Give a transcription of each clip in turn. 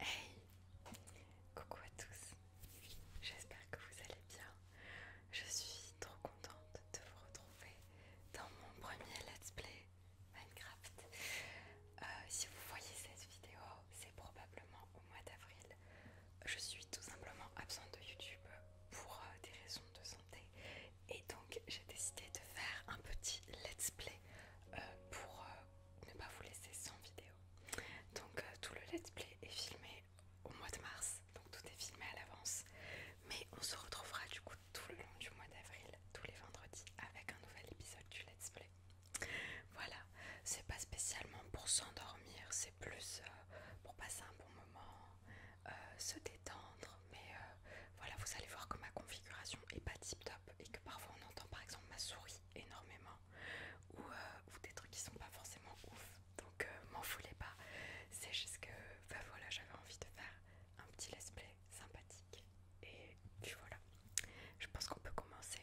Hey Coucou à tous J'espère que vous allez bien. Je suis trop contente de vous retrouver dans mon premier let's play Minecraft. Euh, si vous voyez cette vidéo, c'est probablement au mois d'avril. Je suis tout simplement absente de YouTube pour euh, des raisons de santé et donc j'ai décidé de faire un petit let's play euh, pour euh, ne pas vous laisser sans vidéo. Donc euh, tout le let's play est filmé au mois de mars, donc tout est filmé à l'avance. Mais on se retrouvera du coup tout le long du mois d'avril, tous les vendredis, avec un nouvel épisode du let's play. Voilà, c'est pas spécialement pour s'endormir, c'est plus euh, pour passer un bon moment, se détendre. Mais voilà, vous allez voir que ma configuration est pas tip top et que parfois on entend par exemple ma souris énormément euh, ou, des trucs qui sont pas forcément ouf donc euh, m'en foulez pas c'est juste que bah voilà j'avais envie de faire un petit let's play sympathique et puis voilà je pense qu'on peut commencer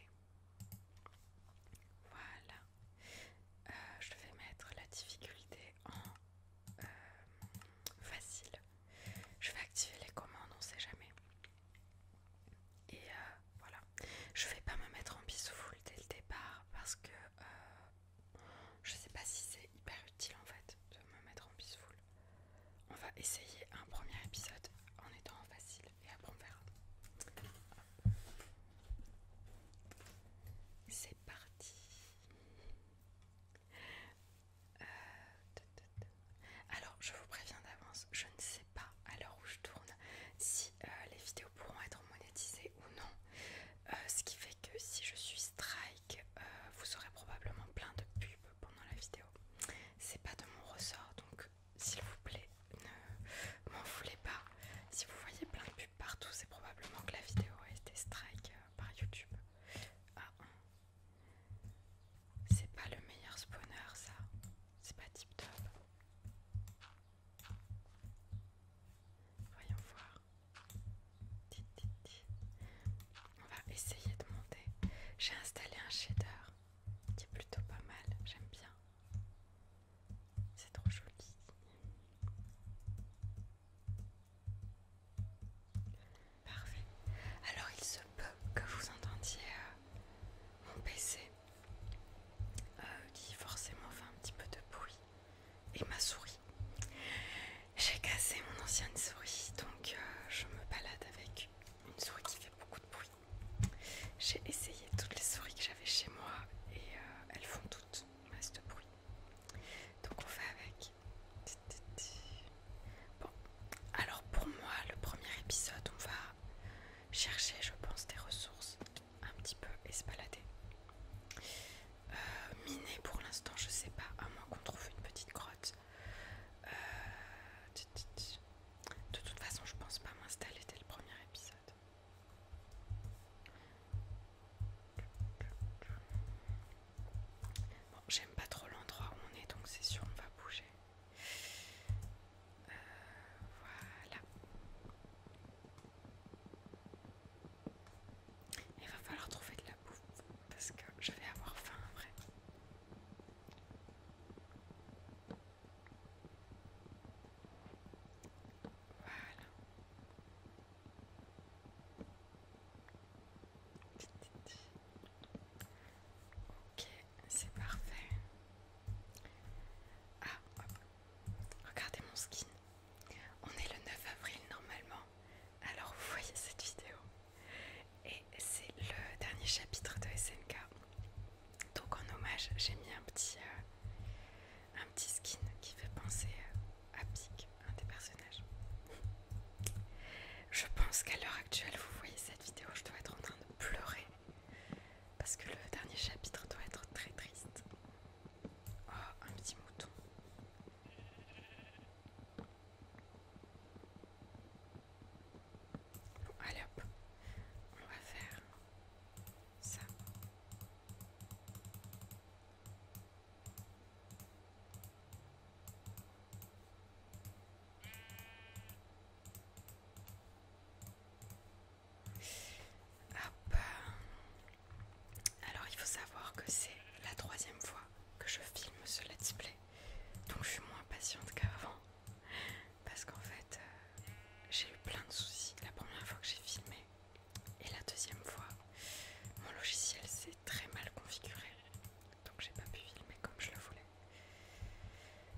voilà euh, je vais mettre la difficulté en facile je vais activer les commandes on sait jamais et euh, voilà, je vais pas me mettre en peaceful dès le départ parce que euh, je sais pas si c'est hyper utile en fait de me mettre en peaceful On va essayer un premier épisode en étant facile et à on verra. C'est parti. Euh, alors, je vous préviens d'avance, je ne sais pas à l'heure où je tourne si euh, les vidéos pourront être monétisées ou non. Euh, ce qui fait que si je suis strike, euh, vous aurez probablement plein de pubs pendant la vidéo. C'est pas de mon ressort, donc s'il vous plaît, ne m'en voulez pas. Si vous voyez plein de pubs partout, c'est probablement que la vidéo a été strike par YouTube. Ah, hein. C'est pas le meilleur spawner ça. C'est pas tip top. Voyons voir. On va essayer de monter. J'ai installé un shader qui est plutôt pas mal. J'aime bien. C'est trop joli. Parfait. Alors il se que vous entendiez mon euh, PC euh, qui forcément fait un petit peu de bruit et ma souris. J'ai cassé mon ancienne souris donc euh, je me balade avec une souris qui fait beaucoup de bruit. J'ai essayé toutes les souris que j'avais chez moi et elles font toutes masse de bruit. Donc on fait avec. Bon, alors pour moi, le premier épisode, on va chercher, je pense, des ressources un petit peu espaladées euh, miner pour l'instant, je sais pas, à moins qu'on trouve une petite grotte. Euh, de toute façon, je pense pas m'installer dès le premier épisode. Bon, j'aime pas trop l'endroit où on est, donc c'est sûr, on va bouger. Euh, voilà. Il va falloir trouver de la bouffe parce que je vais avoir faim après. Voilà. Ok, c'est parfait. Ah, regardez mon skin. On est le 9 avril normalement. Alors vous voyez cette vidéo. Et c'est le dernier chapitre de SNK. Donc en hommage, j'ai mis un petit, euh, un petit skin qui fait penser euh, à Pic, un des personnages. Je pense qu'à l'heure actuelle, vous voyez cette vidéo, je dois être en train de pleurer Parce que le dernier chapitre doit être très triste. Oh, un petit mouton. allez hop, on va faire ça. Alors il faut savoir que c'est la troisième fois que je filme ce let's play. Donc je suis moins patiente qu'avant. Parce qu'en fait euh, j'ai eu plein de soucis la première fois que j'ai filmé. Et la deuxième fois, mon logiciel s'est très mal configuré donc j'ai pas pu filmer comme je le voulais.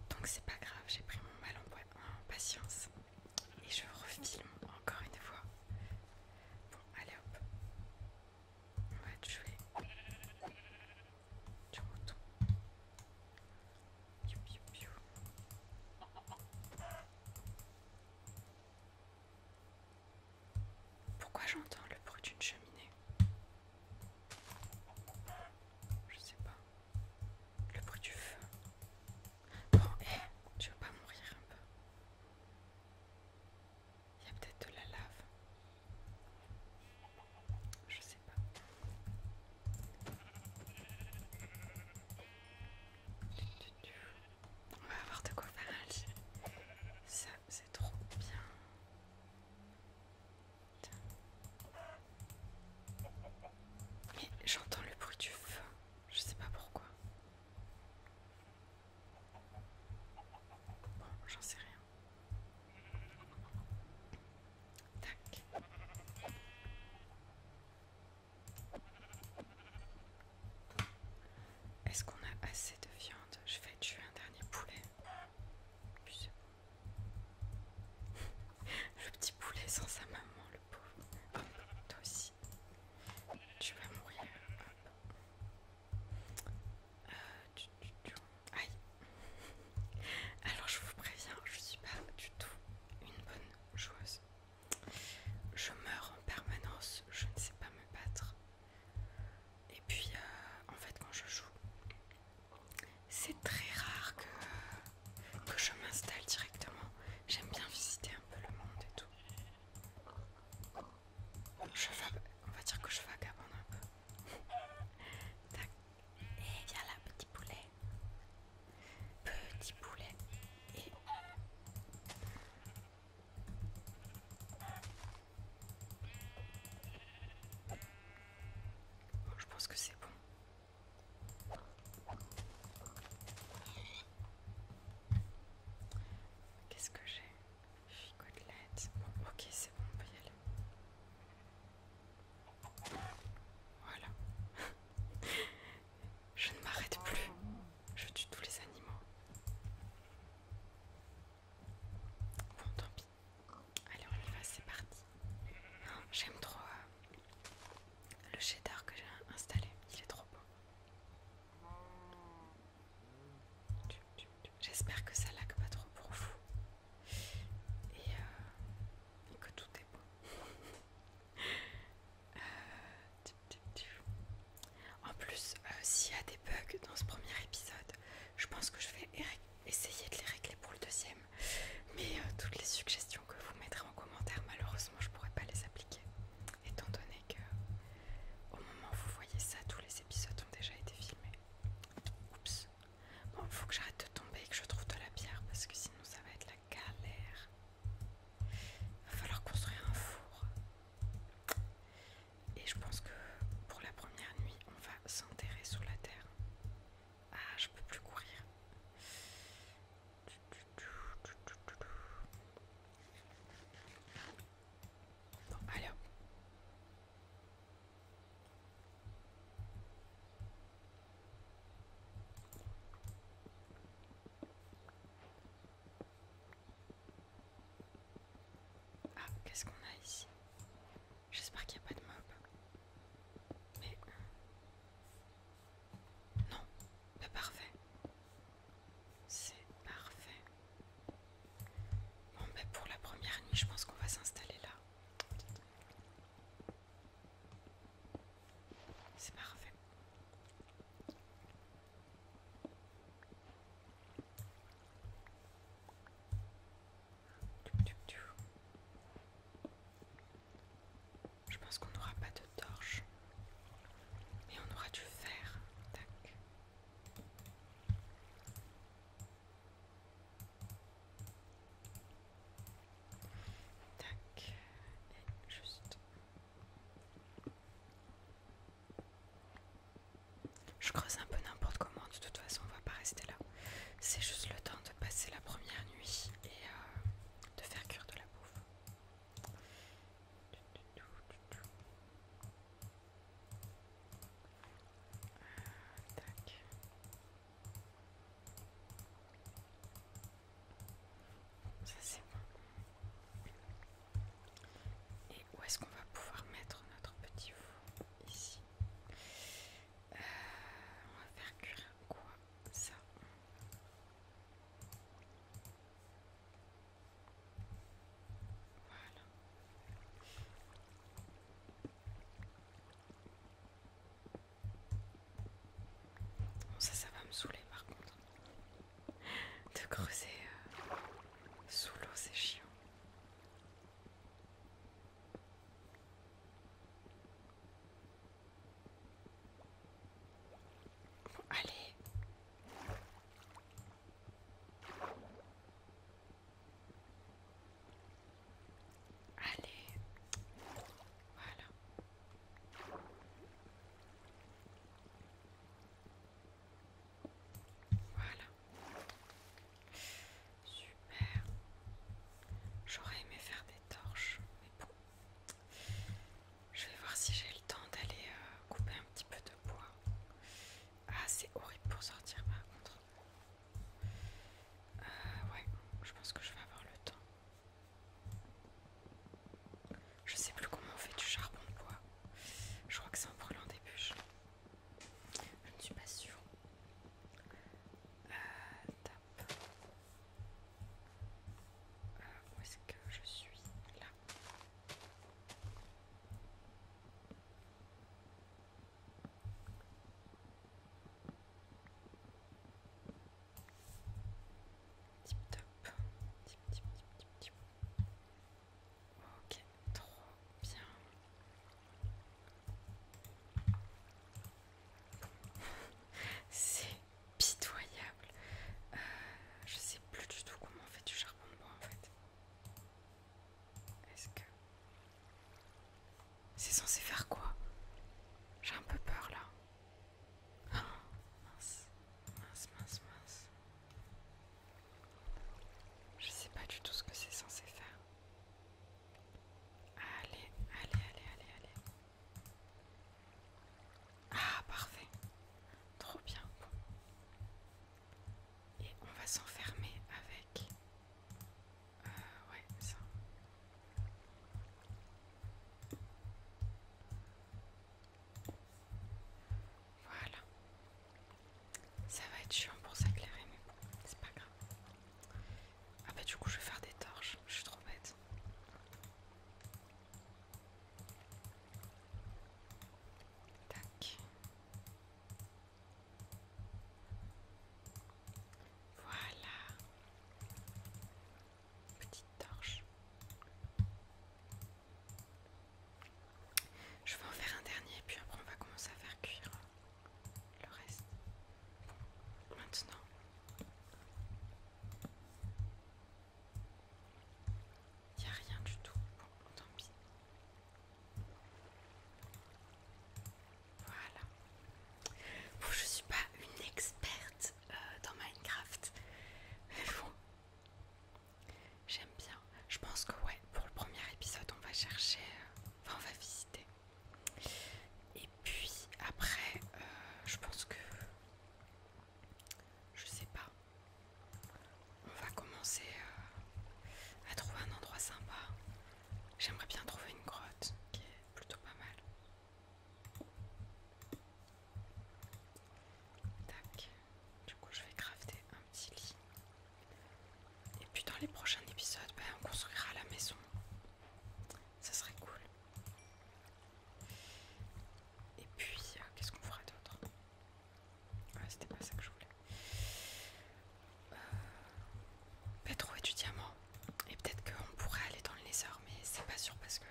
Donc c'est pas grave, j'ai pris mon mal en patience et je refilme encore une fois. Bon, allez hop, on va jouer Pourquoi j'entends le bruit d'une cheminée je sais pas. Le bruit du feu. Bon, hé, eh, tu veux pas mourir un peu Il y a peut-être de la lave. Je sais pas. On va voir de quoi faire Ça, c'est trop bien j'entends le bruit du feu, je sais pas pourquoi. Bon, j'en sais rien. Tac. Est-ce qu'on a assez de viande Je vais tuer un dernier poulet. Le petit poulet sans sa maman, le pauvre. Toi aussi. Tu vas mourir. Euh, Aïe. Alors je vous préviens, je suis pas du tout une bonne joueuse. Je meurs en permanence, je ne sais pas me battre. Et puis euh, en fait quand je joue, c'est très rare que, je m'installe directement. J'aime bien visiter un peu le monde et tout. On va dire que je vagabonde un peu. Et viens là, petit poulet. Petit poulet. Et... Je pense que c'est bon. Qu'est-ce que j'ai Figotelette. Bon, ok, c'est bon, on peut y aller. Voilà. Je ne m'arrête plus. Je tue tous les animaux. Bon, tant pis. Allez, on y va, c'est parti. J'aime trop euh, le shader que j'ai installé, il est trop beau. J'espère que ça laque pas trop pour vous et, euh, que tout est bon. Euh, en plus, s'il y a des bugs dans ce premier épisode, je pense que je vais essayer de les régler pour le deuxième. Mais euh, toutes les suggestions que vous mettrez en commentaire, malheureusement, je pourrai pas les appliquer. Étant donné que au moment où vous voyez ça, tous les épisodes ont déjà été filmés. Oups. Bon, il faut que j'arrête de tomber et que je trouve de la pierre parce que sinon ça va être la galère. Il va falloir construire un four. Et je pense que pour la première nuit, on va s'enterrer sous la terre. Ah, je peux plus courir. Ah, qu'est-ce qu'on a ici J'espère qu'il n'y a pas de mobs, Mais... Euh, non, parfait. C'est parfait. Bon, ben pour la première nuit, je pense qu'on va s'installer là. C'est parfait. Je pense qu'on n'aura pas de torche. Et on aura du fer. Tac. Je creuse un peu n'importe comment, de toute façon on ne va pas rester là. C'est juste le temps de passer la première nuit et euh, de faire cuire de la bouffe. Euh, Ça c'est bon. Et où est-ce qu'on va pouvoir mettre notre petit four Ici on va faire cuire quoi Ça. Voilà. ça, ça va me saouler par contre. De creuser euh, sous l'eau, c'est chiant. Allez. Allez. Voilà. Voilà. Super. J'aurais aimé faire des torches, mais bon. Je vais voir si j'ai le temps d'aller euh, couper un petit peu de bois. Ah, c'est horrible pour sortir par contre. Euh, ouais, je pense que je vais avoir le temps. Je sais plus comment on fait du charbon de bois. Je crois que c'est en brûlant des bûches. Je ne suis pas sûre. Euh, euh, où est-ce que je suis Là. Tip top. tip tip tip tip. Ok, trop bien. C'est pitoyable. Euh, je sais plus du tout comment on fait du charbon de bois en fait. Est-ce que. C'est censé faire quoi J'ai un peu peur là. mince, mince, mince, mince. Je sais pas du tout ce que c'est censé faire. Allez, allez, allez, allez, allez. Ah, parfait. Trop bien. Et on va s'enfermer avec... Euh, ouais, ça. Voilà. Ça va être chiant pour s'éclairer, mais c'est pas grave. Ah bah du coup je vais faire des torches, je suis trop bête. Tac. Voilà. Petite torche. Je vais en faire un dernier et puis après on va commencer à faire cuire le reste. Maintenant, il n'y a rien du tout. Bon, tant pis. Voilà. Bon, je suis pas une experte euh, dans Minecraft, mais bon, j'aime bien. Je pense que ouais, pour le premier épisode, on va chercher, euh, enfin on va visiter et puis après, euh, je pense que je sais pas. On va commencer euh, à trouver un endroit sympa. J'aimerais bien trouver une grotte qui est plutôt pas mal. Tac. Du coup, je vais crafter un petit lit. Et puis dans les prochains épisodes, ben, on construira la maison. Ça serait cool. Et puis, euh, qu'est-ce qu'on ferait d'autre Ah, c'était pas ça que je voulais. Euh, pas trouver du diamant. Et peut-être qu'on pourrait aller dans le Nether, mais c'est pas sûr parce que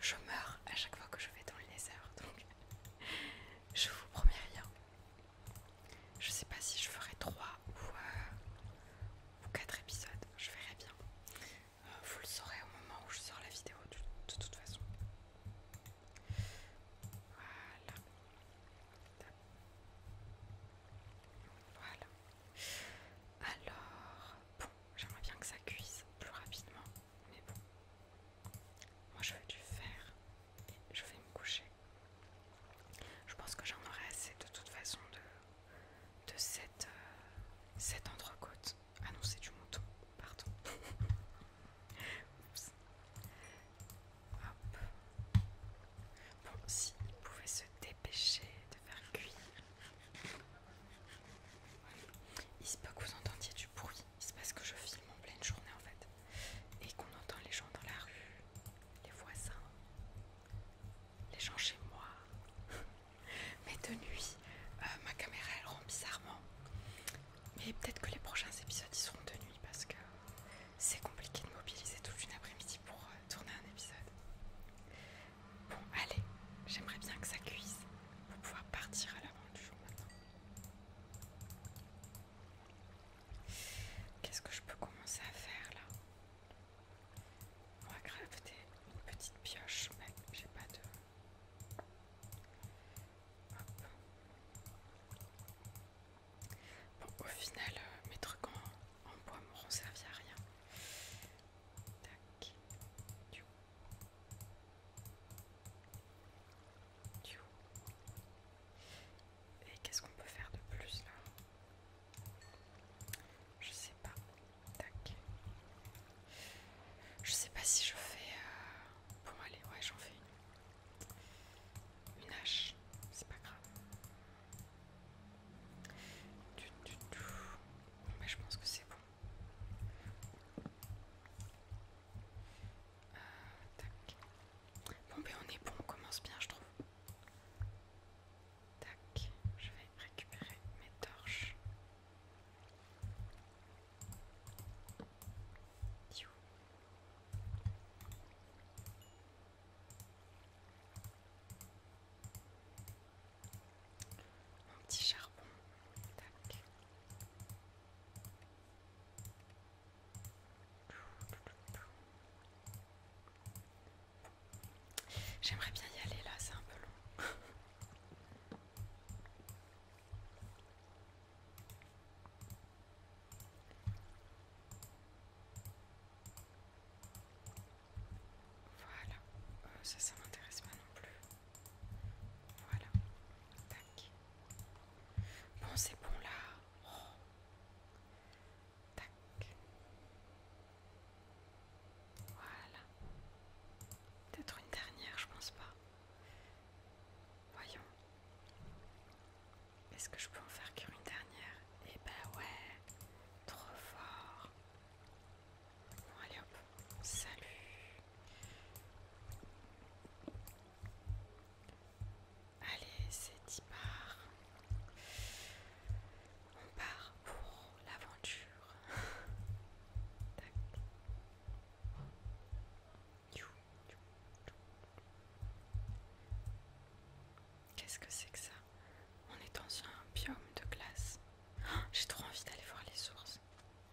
je meurs à chaque fois que je vais dans le Nether. Donc, je vous promets rien. Je sais pas si je ferai 3 ou, 4 euh, épisodes, je verrai bien. Euh, vous le saurez au moment où je sors la vidéo, de, toute façon. Voilà. Voilà. Alors, j'aimerais bien que ça cuise plus rapidement, mais bon. Moi je vais du faire et je vais me coucher. Je pense que j'en aurai assez de toute façon de, euh, cette, entrecôte. Ah du mouton, pardon. Oups. Hop. Bon, s'il vous pouvait se dépêcher de faire cuire. Il se peut que vous entendiez du bruit. Il se passe que je filme en pleine journée en fait. Et qu'on entend les gens dans la rue, les voisins les gens chez moi. Mais de nuit, euh, ma caméra elle rend bizarrement. Mais peut-être que les prochains épisodes ils seront de nuit parce que c'est compliqué de mobiliser toute une après-midi pour euh, tourner un épisode. Bon, allez, j'aimerais bien que ça cuise pour pouvoir partir à l'avant du jour maintenant. Qu'est-ce que je peux commencer à faire là on va crafter une petite pioche, mais j'ai pas de. Bon, au final, euh, mes trucs en, bois m'auront servi à rien. Tac. Et qu'est-ce qu'on peut faire de plus là je sais pas. Je sais pas si je fais. pour euh, Bon, allez, ouais, j'en fais une. Une hache. C'est pas grave. Mais je pense que c'est bon. Euh, tac. Bon, ben on est bon, on commence bien, je trouve. Tac, je vais récupérer mes torches. Mon petit charbon. Tac. J'aimerais bien y aller là, c'est un peu long. Voilà, euh, ça, ça m'intéresse pas non plus. Voilà, tac. Bon, c'est bon là. Oh. Voilà. Peut-être une dernière, je pense pas. Voyons. Est-ce que je peux en faire qu'une dernière Eh ben ouais. Trop fort. Bon allez hop. Salut. Allez, c'est d'y On part pour l'aventure. Qu'est-ce que c'est que ça On est dans un biome de glace. Oh, j'ai trop envie d'aller voir les sources.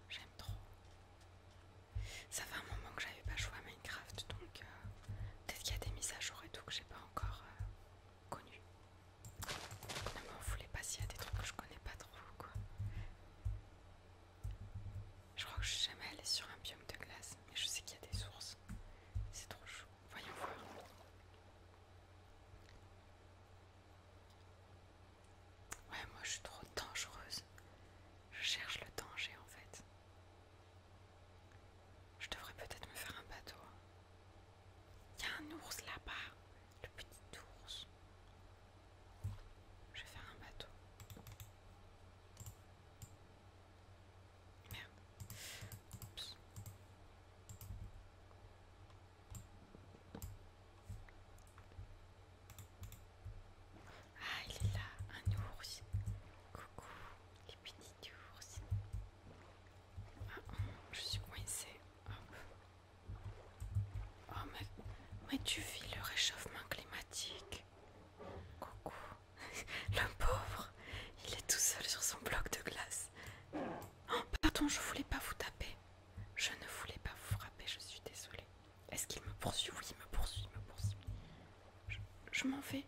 J'aime trop. Ça fait un moment que j'avais pas joué à Minecraft, donc euh, peut-être qu'il y a des mises à jour et tout que j'ai pas encore euh, connu. Ne m'en voulez pas s'il y a des trucs que je connais pas trop, quoi. Je crois que je suis jamais allée sur un biome de glace, mais je sais qu'il y a des sources. C'est trop chaud. Voyons voir. Ouais, moi je suis trop dangereuse. Je cherche le danger en fait. Je devrais peut-être me faire un bateau. Il y a un ours là-bas, le petit ours. Je vais faire un bateau. Merde. Oups. Ah, il est là, un ours. Coucou, les petits ours je suis coincée. Oh, oh mais, tu vis le réchauffement climatique. Coucou. le pauvre, il est tout seul sur son bloc de glace. Oh, pardon, je voulais pas vous taper. Je ne voulais pas vous frapper, je suis désolée. Est-ce qu'il me poursuit Oui, il me poursuit, il me poursuit. je m'en vais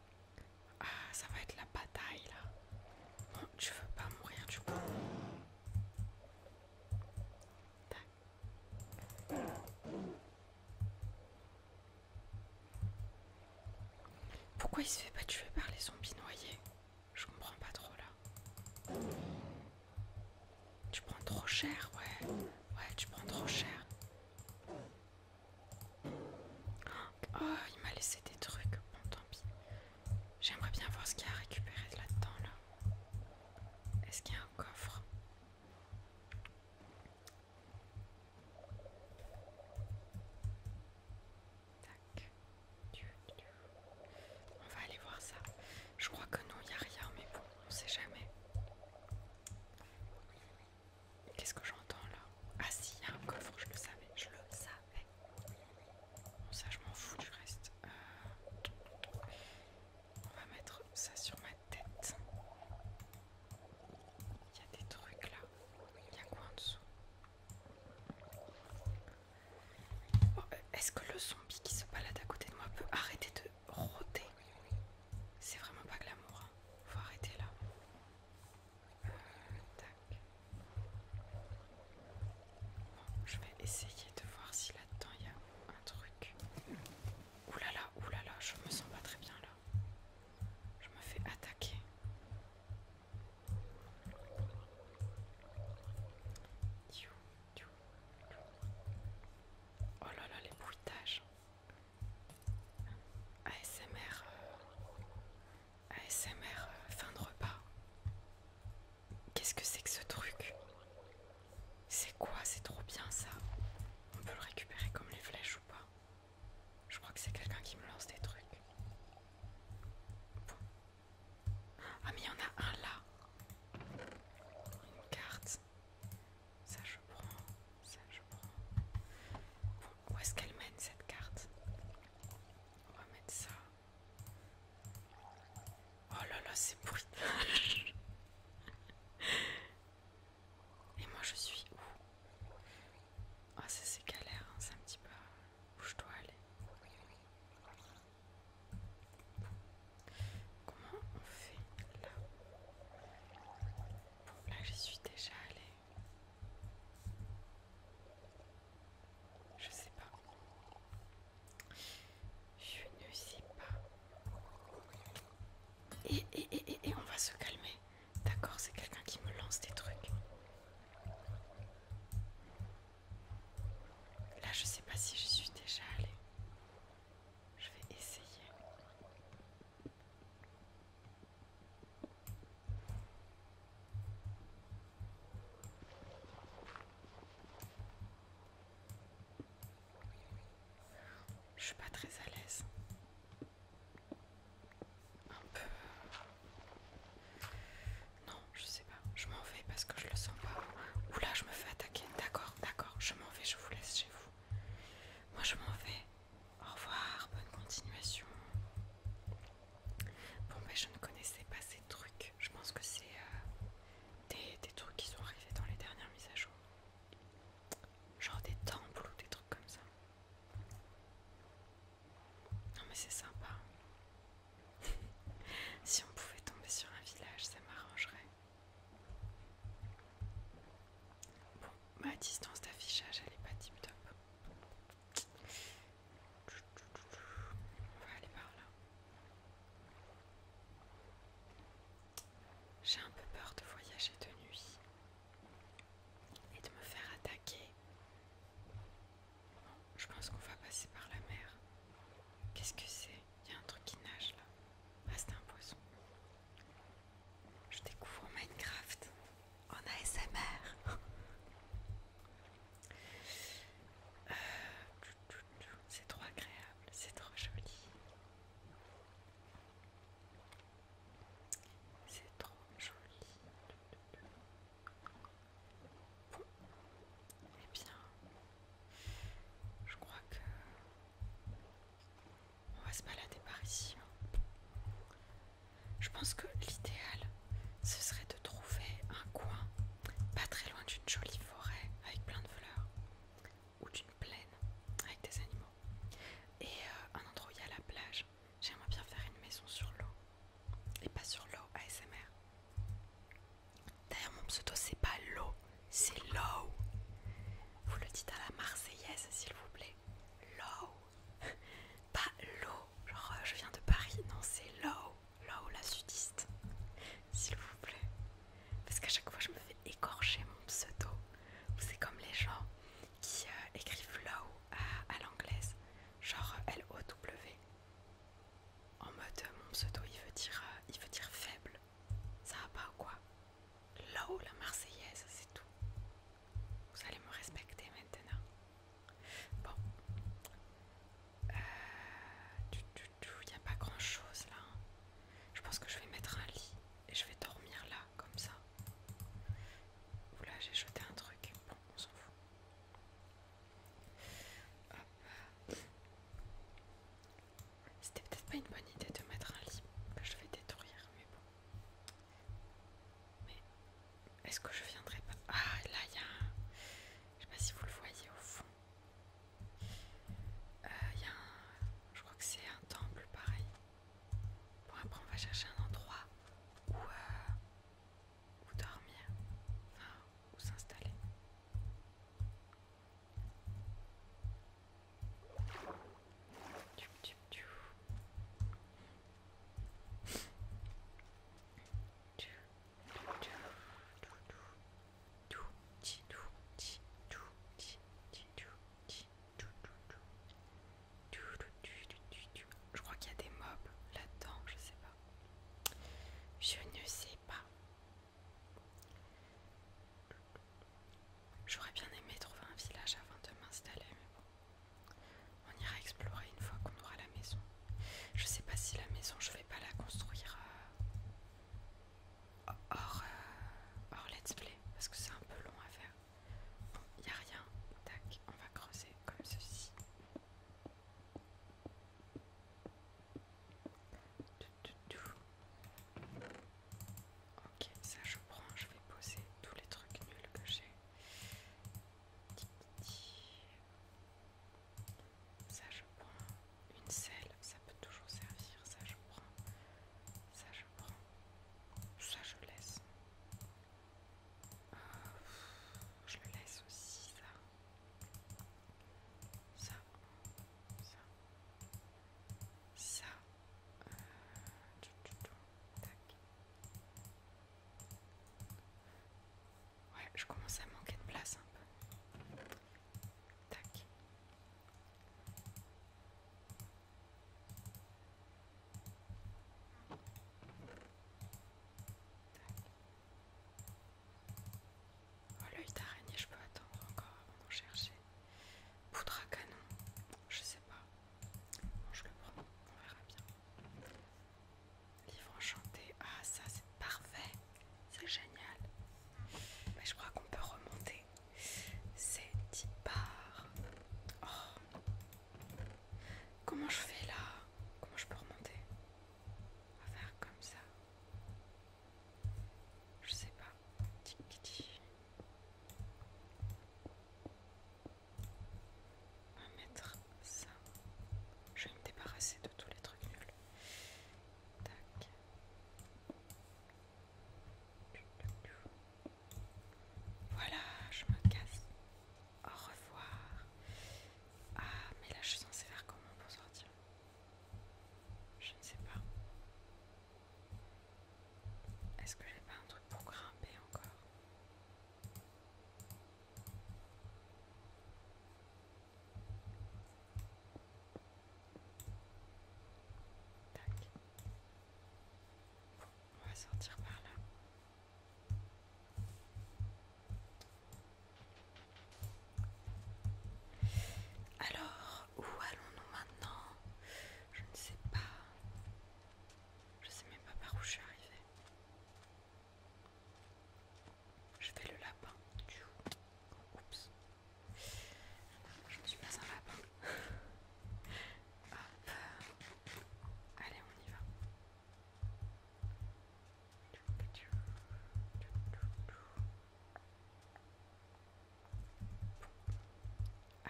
Ah, ça va être la bataille là. Bon, oh, je veux pas mourir du coup. Pourquoi il se fait pas tuer par les zombies noyés Je comprends pas trop là. Tu prends trop cher, ouais. Ouais, tu prends trop cher. Oh, il m'a laissé des trucs. Bon, tant pis. J'aimerais bien voir ce qu'il y a à récupérer là-dedans, Est-ce qu'il y a un coffre Tac. On va aller voir ça. Je crois que non, il n'y a rien, mais bon, on sait jamais. Qu'est-ce que j'entends là Ah si, il y a un coffre, je le savais, je le savais ça, je m'en fous du reste. Euh, on va mettre ça sur ma tête. Il y a des trucs là. Il y a quoi en dessous oh, euh, Est-ce que le zombie qui se balade à côté de moi peut arrêter de rôder C'est vraiment pas glamour. Hein. Faut arrêter là je vais essayer de voir si là-dedans il y a un truc. Oulala, là là, là là, je me sens pas très bien là. Je me fais attaquer. Oh là là, les bruitages. ASMR. ASMR euh, fin de repas. Qu'est-ce que c'est que ce truc C'est quoi C'est trop bien ça. On peut le récupérer comme les flèches ou pas Je crois que c'est quelqu'un qui me lance des trucs. Ah mais il y en a un là. Une carte. Ça je prends. Ça je prends. Bon, où est-ce qu'elle mène cette carte on va mettre ça. Oh là là, c'est bruitage. Et moi je suis où Ah, oh, ça c'est galère, hein, c'est un petit peu. Où je dois aller Comment on fait là là j'y suis déjà allée. Je sais pas. Je ne sais pas. Et, on va se calmer. D'accord, c'est quelqu'un qui me lance des trucs. Là, je sais pas si je suis déjà allée. Je vais essayer. Je suis pas très à l'aise. Un peu. Non, je sais pas. Je m'en vais parce que je le sens pas. Oula, je me fais attaquer. D'accord, d'accord. Je m'en vais, je vous laisse chez vous. Moi, je m'en vais. Au revoir, bonne continuation. Bon ben je ne connaissais pas ces trucs. Je pense que c'est euh, des, des trucs qui sont arrivés dans les dernières mises à jour. Genre des temples ou des trucs comme ça. Non mais c'est sympa. si on pouvait tomber sur un village, ça m'arrangerait. Bon, ma distance d'affichage elle est pas tip top. On va aller par là. J'ai un peu peur de voyager de nuit et de me faire attaquer. je pense qu'on va passer par la mer. Qu'est-ce que c'est Il y a un truc qui nage là. Ah, c'est un poisson. Je découvre Minecraft en ASMR. mère euh, c'est trop agréable, c'est trop joli. C'est trop joli. Eh bien, je crois que on va se balader par ici. Hein. Je pense que l'idéal, ce serait de trouver un coin pas très loin d'une jolie forêt avec plein de fleurs ou d'une plaine avec des animaux et euh, un endroit où il y a la plage. J'aimerais bien faire une maison sur l'eau et pas sur l'eau ASMR. D'ailleurs, mon pseudo c'est pas l'eau, c'est l'eau. Vous le dites à la Marseillaise s'il vous plaît. L'eau. Pas l'eau, genre euh, je viens de Paris, non c'est low, low la sudiste, s'il vous plaît. Parce qu'à chaque fois je me fais écorcher mon pseudo. C'est comme les gens qui euh, écrivent low à, l'anglaise, genre euh, L-O-W. En mode mon pseudo il veut dire il veut dire faible. Ça va pas ou quoi Low la marseillaise, c'est tout. Vous allez me respecter maintenant. Bon. Il euh, n'y a pas grand chose là. Je pense que je vais mettre un lit et je vais dormir là, comme ça. Oula, j'ai jeté un truc. Bon, on s'en fout. C'était peut-être pas une bonne idée de mettre un lit. Je vais détruire, mais bon. Mais est-ce que je viendrai pas Ah, là, il y a un... Je sais pas si vous le voyez au fond. Euh, il y a un... Je crois que c'est un temple, pareil. Bon, après, on va chercher un endroit où... Euh, dormir, enfin, s'installer. Je crois qu'il y a des mobs là-dedans, je sais pas. Je ne sais pas. J'aurais bien aimé trouver un village avant de m'installer, mais bon. On ira explorer une fois qu'on aura la maison. Je sais pas si la maison, je vais pas la construire euh, euh, hors, let's play parce que c'est un peu long à faire. Bon, y a rien. Tac, on va creuser comme ceci. Ok, ça je prends, je vais poser tous les trucs nuls que j'ai. Ça je prends une selle, ça peut toujours servir, ça je prends, ça je prends, ça je laisse. Ah, je laisse aussi, ça. Ça, ça, ça. Euh, Ouais, je commence à manquer de place un peu. Tac. Oh, l'œil d'araignée, je peux attendre encore avant d'en chercher. Poudre à canon, je sais pas. Bon, je le prends, on verra bien. Livre enchanté. Ah, ça c'est parfait. C'est génial. Mais je crois qu'on peut remonter. C'est 10 Comment je fais là Comment je peux remonter On va faire comme ça. Je sais pas. On va mettre ça. Je vais me débarrasser de tous les trucs nuls. Voilà, je me casse. Au revoir. Ah, mais là je suis censée faire comment pour sortir Je ne sais pas. Est-ce que j'ai pas un truc pour grimper encore on va sortir par là. Alors, où allons-nous maintenant Je ne sais pas. Je sais même pas par où je suis arrivée. Je fais le lapin. Oups. Je ne suis pas un lapin. Hop. Allez, on y va.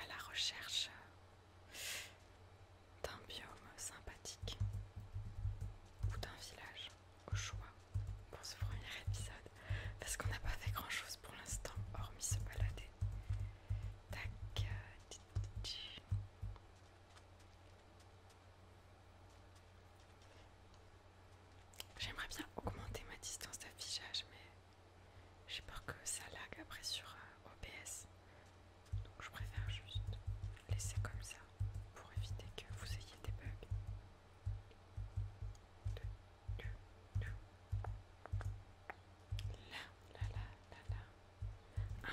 À la recherche d'un biome sympathique ou d'un village au choix pour ce premier épisode parce qu'on n'a pas fait grand chose pour l'instant hormis se balader. Tac. Euh, J'aimerais bien augmenter ma distance d'affichage mais j'ai peur que ça lag après sur euh, OBS. Donc je préfère juste laisser comme ça pour éviter que vous ayez des bugs.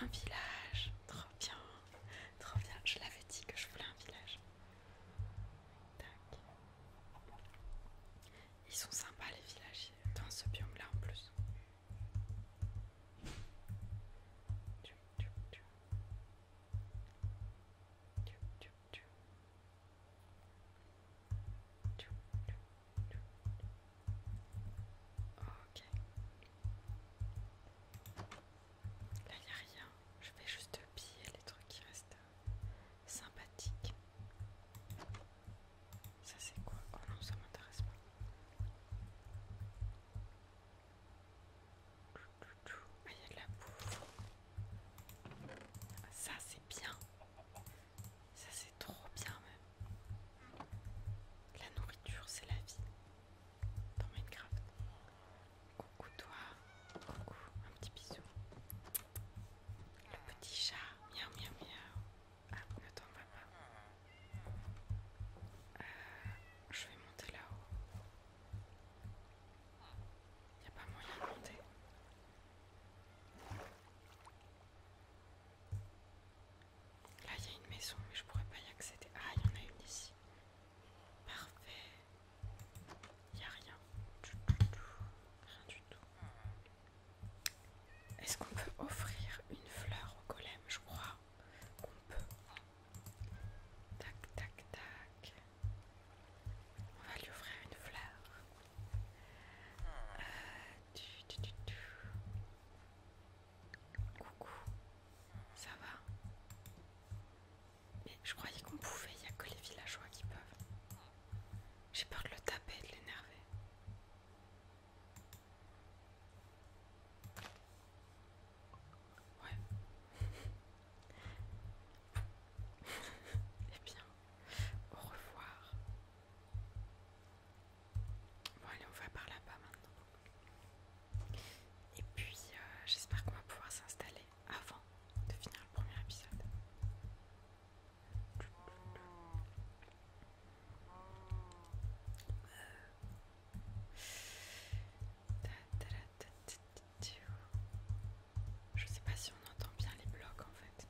Un village. Trop bien. Trop bien. Je l'avais dit que je voulais un village. Ils sont sympas les villages dans ce biome là en plus. Ok. Là, il n'y a rien. Je vais juste piller les trucs qui restent sympathiques. Ça, c'est quoi Oh non, ça m'intéresse pas. Ah, il de la bouffe. ça, c'est bien. Ça, c'est trop bien, même. La nourriture, c'est la vie. Dans Minecraft. Coucou, toi. Coucou. Un petit bisou. Le petit chat. Miaou, miaou, miaou. Ah, ne pas. Euh, je vais monter là-haut. Il n'y a pas moyen de monter. Là, il y a une maison, mais je pourrais pas y accéder. Ah, il y en a une ici. Parfait. Il n'y a rien. Rien du tout. Est-ce qu'on peut offrir une fleur au golem Je crois qu'on peut. Tac, tac, tac. On va lui offrir une fleur. Euh, Coucou, ça va Mais je croyais qu'on pouvait, il n'y a que les villageois qui peuvent. J'ai peur de le taper et de l'énerver. Ouais. Eh bien, au revoir. Bon, allez, on va par là-bas maintenant. Et puis, euh, j'espère qu'on va pouvoir s'installer avant de finir le premier épisode. Euh, je sais pas si on entend bien les blocs en fait.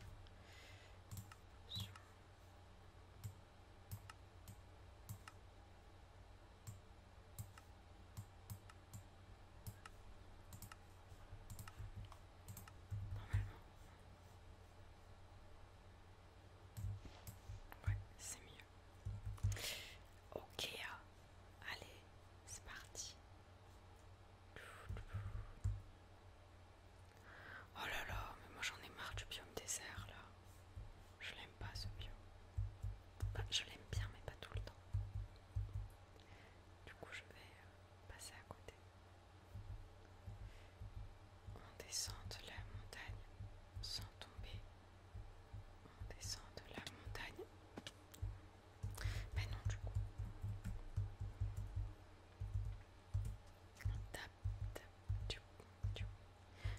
Normalement. Ouais, c'est mieux. Ok, ah. allez, c'est parti. Oh là là, mais moi j'en ai marre du biome désert là. Je l'aime pas ce biome. je l'aime bien, mais pas tout le temps. Du coup, je vais euh, passer à côté. On descend de la montagne sans tomber on descend de la montagne. Mais ben non, du coup.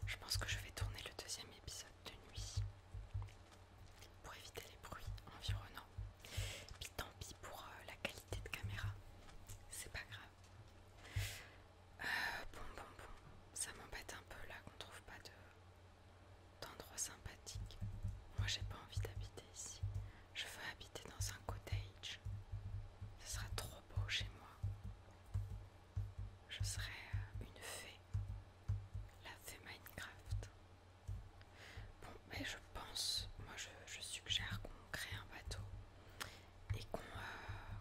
Je pense que je vais tourner le deuxième épisode de nuit pour éviter les bruits environnants. Puis tant pis pour euh, la qualité de caméra, c'est pas grave. Euh, bon, bon, bon. Ça m'embête un peu là qu'on trouve pas d'endroit sympathique. Moi j'ai pas envie d'habiter ici. Je veux habiter dans un cottage. Ce sera trop beau chez moi. Je serai euh, une fée. La fée Minecraft. Bon, mais ben, je pense, moi je, suggère qu'on crée un bateau et qu'on euh,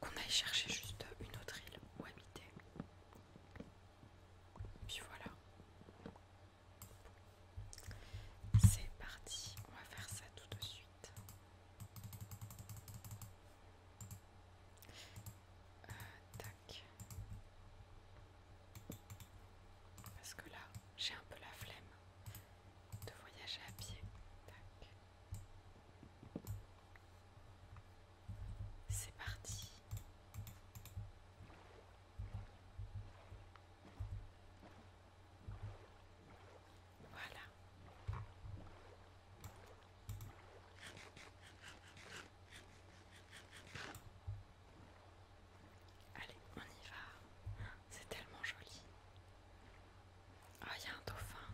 qu'on aille chercher juste une autre île où habiter. Puis voilà. C'est parti, on va faire ça tout de suite. Euh, tac. Parce que là, j'ai un peu la flemme de voyager à pied. Tac. C'est parti. Voilà. Allez, on y va. C'est tellement joli. Ah, il y a un dauphin.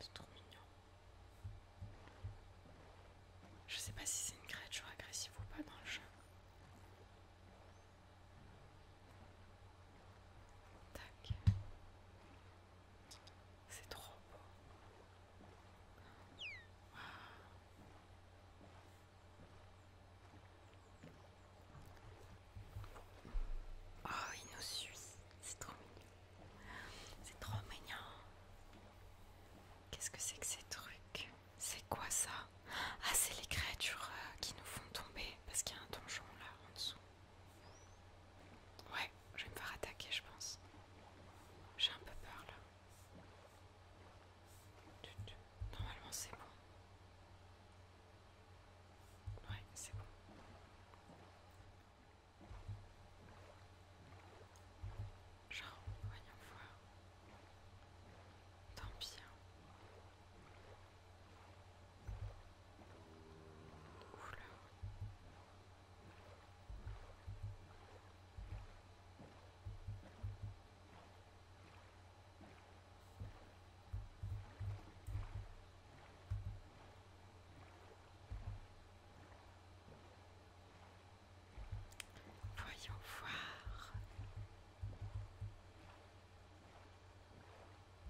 C'est trop mignon. Je sais pas si c'est une créature agressive ou pas dans le jeu. Tac. C'est trop beau. Ah. Oh, il nous suit. C'est trop mignon. C'est trop mignon. Qu'est-ce que c'est que ces trucs C'est quoi ça Ah, c'est les créatures euh, qui nous font tomber parce qu'il y a un donjon là en dessous. Ouais, je vais me faire attaquer, je pense. J'ai un peu peur là. Normalement, c'est bon. Ouais, c'est bon. Genre, voyons voir. Tant pis. Hein. Oula. Voyons voir.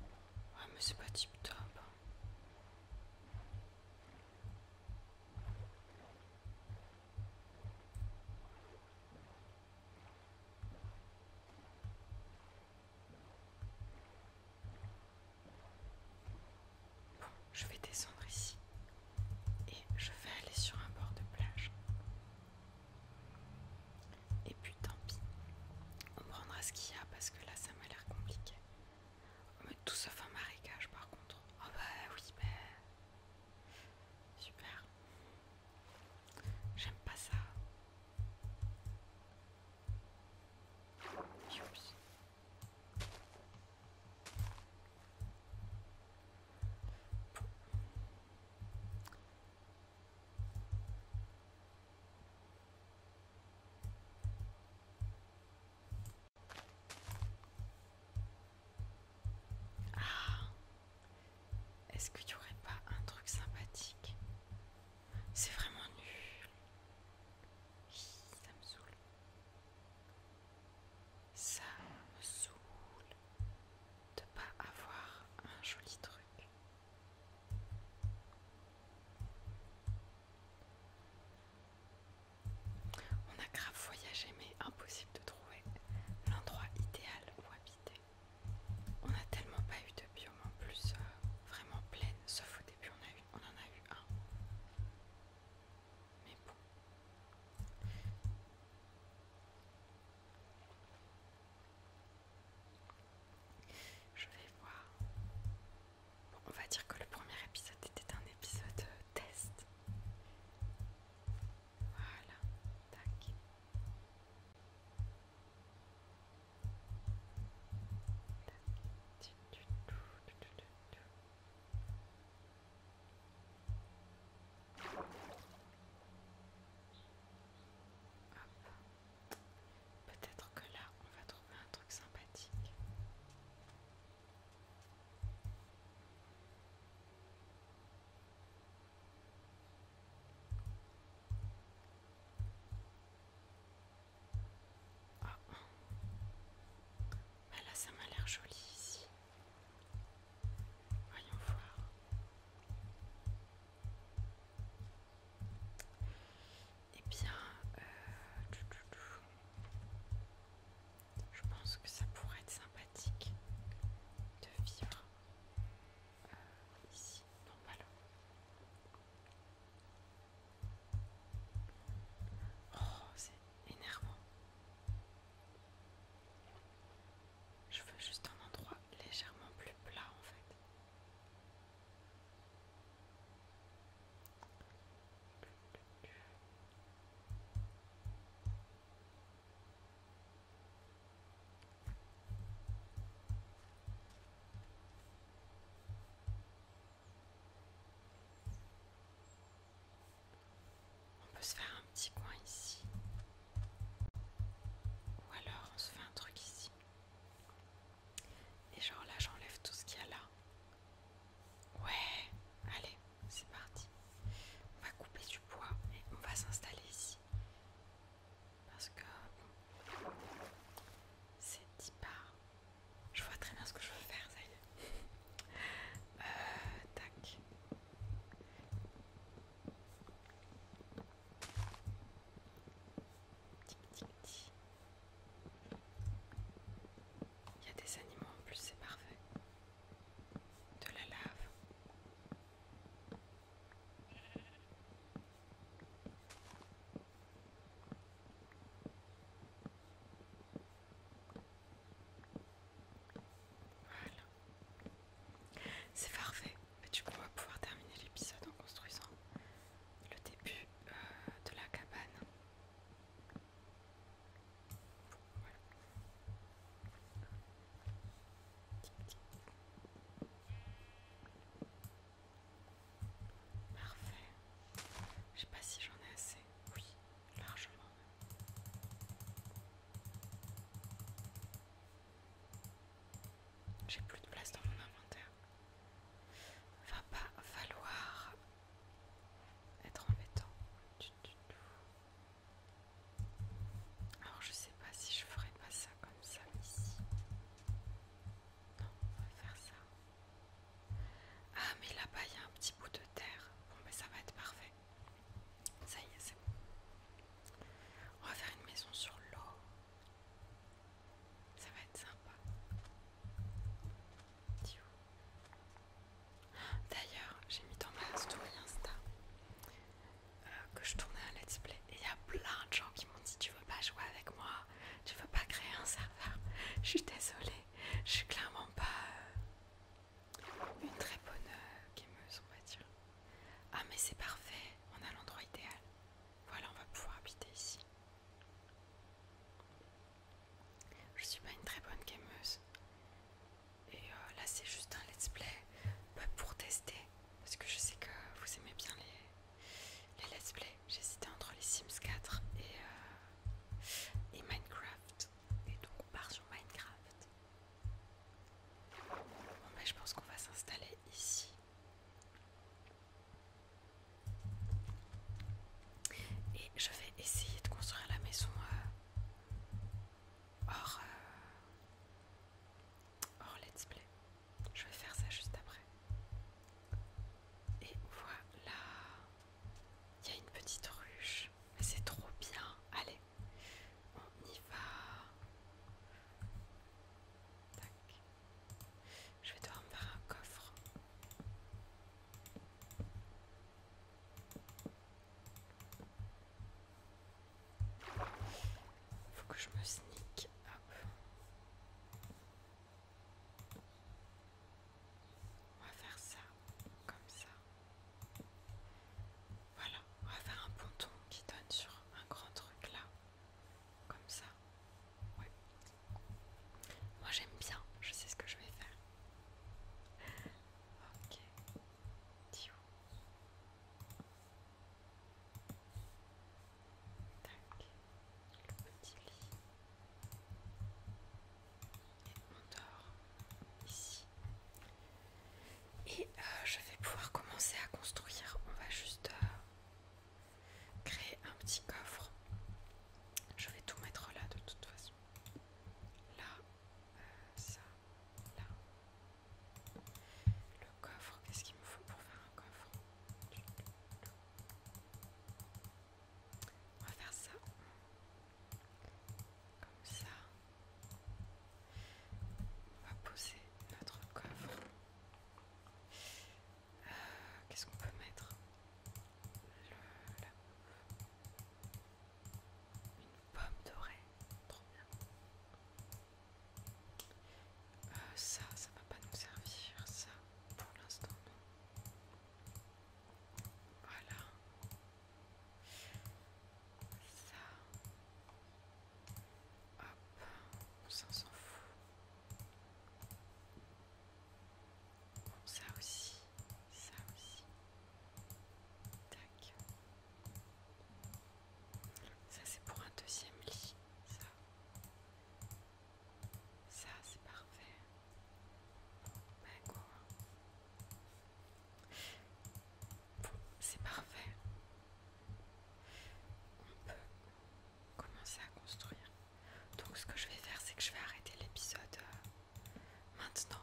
Ouais, oh, mais c'est pas tip top. Bon, je vais descendre ici et je vais aller sur un bord de plage. Et puis tant pis, on prendra ce qu'il y a parce que là ça m'a l'air compliqué. Mais tout sauf un marécage par contre. Oh bah oui, bah... Super. J'aime pas ça. Ah Est-ce que tu aurais pas un truc sympathique c'est vraiment nul. Ça me saoule. Ça me saoule de pas avoir un joli truc. On a grave voyagé mais impossible de trouver l'endroit idéal où habiter. On n'a tellement pas eu de puis au en plus euh, vraiment pleine sauf au début on, a eu, on en a eu un. Mais bon. Je vais voir. Bon, on va dire que le premier épisode était un épisode euh, test. Voilà, tac. Peut-être que là, on va trouver un truc sympathique. Ah, bah là, ça m'a l'air joli ici. Voyons voir. Eh bien, euh, je pense que ça pourrait être sympathique de vivre euh, ici. Non, bah Oh, c'est énervant. Je veux juste un endroit légèrement plus plat en fait. On peut se faire un petit coin ici. Ou alors on se fait un truc ici. Et genre là j'enlève tout ce qu'il y a là. Ouais, allez, c'est parti. On va couper du poids et on va s'installer ici. Parce que c'est 10 parts. Je vois très bien ce que je veux faire, ça y est. Euh, tac. Tic tic tic. Il y a des animaux en plus, c'est parfait. De la lave. C'est parfait. mais tu pourras pouvoir terminer l'épisode en construisant le début euh, de la cabane. Parfait. Je sais pas si j'en ai assez. Oui, largement. J'ai plus de place dans mon inventaire. Va pas falloir être embêtant. Alors je sais pas si je ferai pas ça comme ça ici. Non, on va faire ça. Ah, mais là-bas, il y a un petit bout de terre. Bon, mais ben, ça va être parfait. Ça y est, c'est bon. On va faire une maison sur l'eau. Ça va être sympa. D'ailleurs, j'ai mis dans ma story Insta euh, que je tournais un let's play et il y a plein de gens qui m'ont dit Tu veux pas jouer avec moi Tu veux pas créer un serveur Je suis désolée, je suis clairement pas euh, une très bonne euh, gameuse, on va dire. Ah, mais c'est parfait, on a l'endroit idéal. Voilà, on va pouvoir habiter ici. Je suis pas une très bonne gameuse. Et euh, là, c'est juste un let's play bah, pour tester. Parce que je sais que vous aimez bien les les let's play. J'hésitais entre les Sims 4 euh, et, Minecraft. Et donc on part sur Minecraft. Bon ben, je pense qu'on va s'installer ici. Et je vais essayer de construire la maison euh, hors, euh, hors let's play. Je vais faire ça juste après. Et voilà. Il y a une petite ruche. c'est trop bien. Allez, on y va. Je vais devoir me faire un coffre. il Faut que je me sneak. Hop. On va faire ça, comme ça. Voilà, on va faire un ponton qui donne sur un grand truc là. Comme ça. Ouais. Moi j'aime bien, je sais ce que je vais faire. Ok le petit lit. Et on dort ici. Et euh, je vais pouvoir commencer à construire. On va juste euh, créer un petit coffre. Je vais tout mettre là de toute façon. Là, euh, ça, là. Le coffre, qu'est-ce qu'il me faut pour faire un coffre on va faire ça. Comme ça. On va poser notre coffre. Euh, qu'est-ce qu'on peut mettre Une pomme dorée. Trop bien. Euh, ça, ça va pas nous servir, ça, pour l'instant non. Voilà. Ça. Hop, on s'en fout. ça aussi, ça aussi. Tac. Ça c'est pour un deuxième lit, ça. Ça, c'est parfait. Ben, c'est parfait. On peut commencer à construire. Donc ce que je vais faire, c'est que je vais arrêter l'épisode euh, maintenant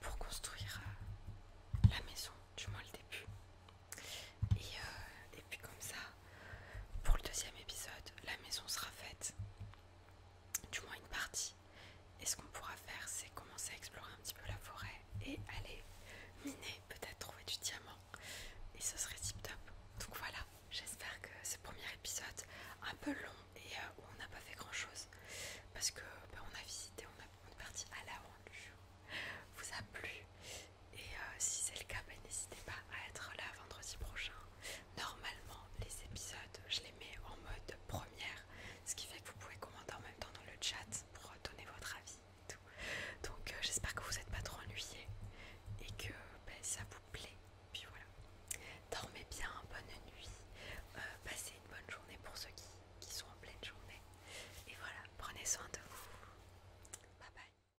pour construire euh, la maison, du moins le début. Et, euh, et puis comme ça, pour le deuxième épisode, la maison sera faite, du moins une partie. Et ce qu'on pourra faire, c'est commencer à explorer un petit peu la forêt et aller miner, peut-être trouver du diamant. Et ce serait tip top. Donc voilà, j'espère que ce premier épisode, un peu long et euh, où on n'a pas fait grand chose, parce que bah, on a visité, on, a, est parti à la vous a plu. Et euh, si c'est le cas, ben, n'hésitez pas à être là vendredi prochain. Normalement, les épisodes, je les mets en mode première, ce qui fait que vous pouvez commenter en même temps dans le chat pour donner votre avis et tout. Donc euh, j'espère que vous n'êtes pas trop ennuyés et que ben, ça vous plaît. Puis voilà. Dormez bien, bonne nuit, euh, passez une bonne journée pour ceux qui sont en pleine journée. Et voilà, prenez soin de vous. Bye bye.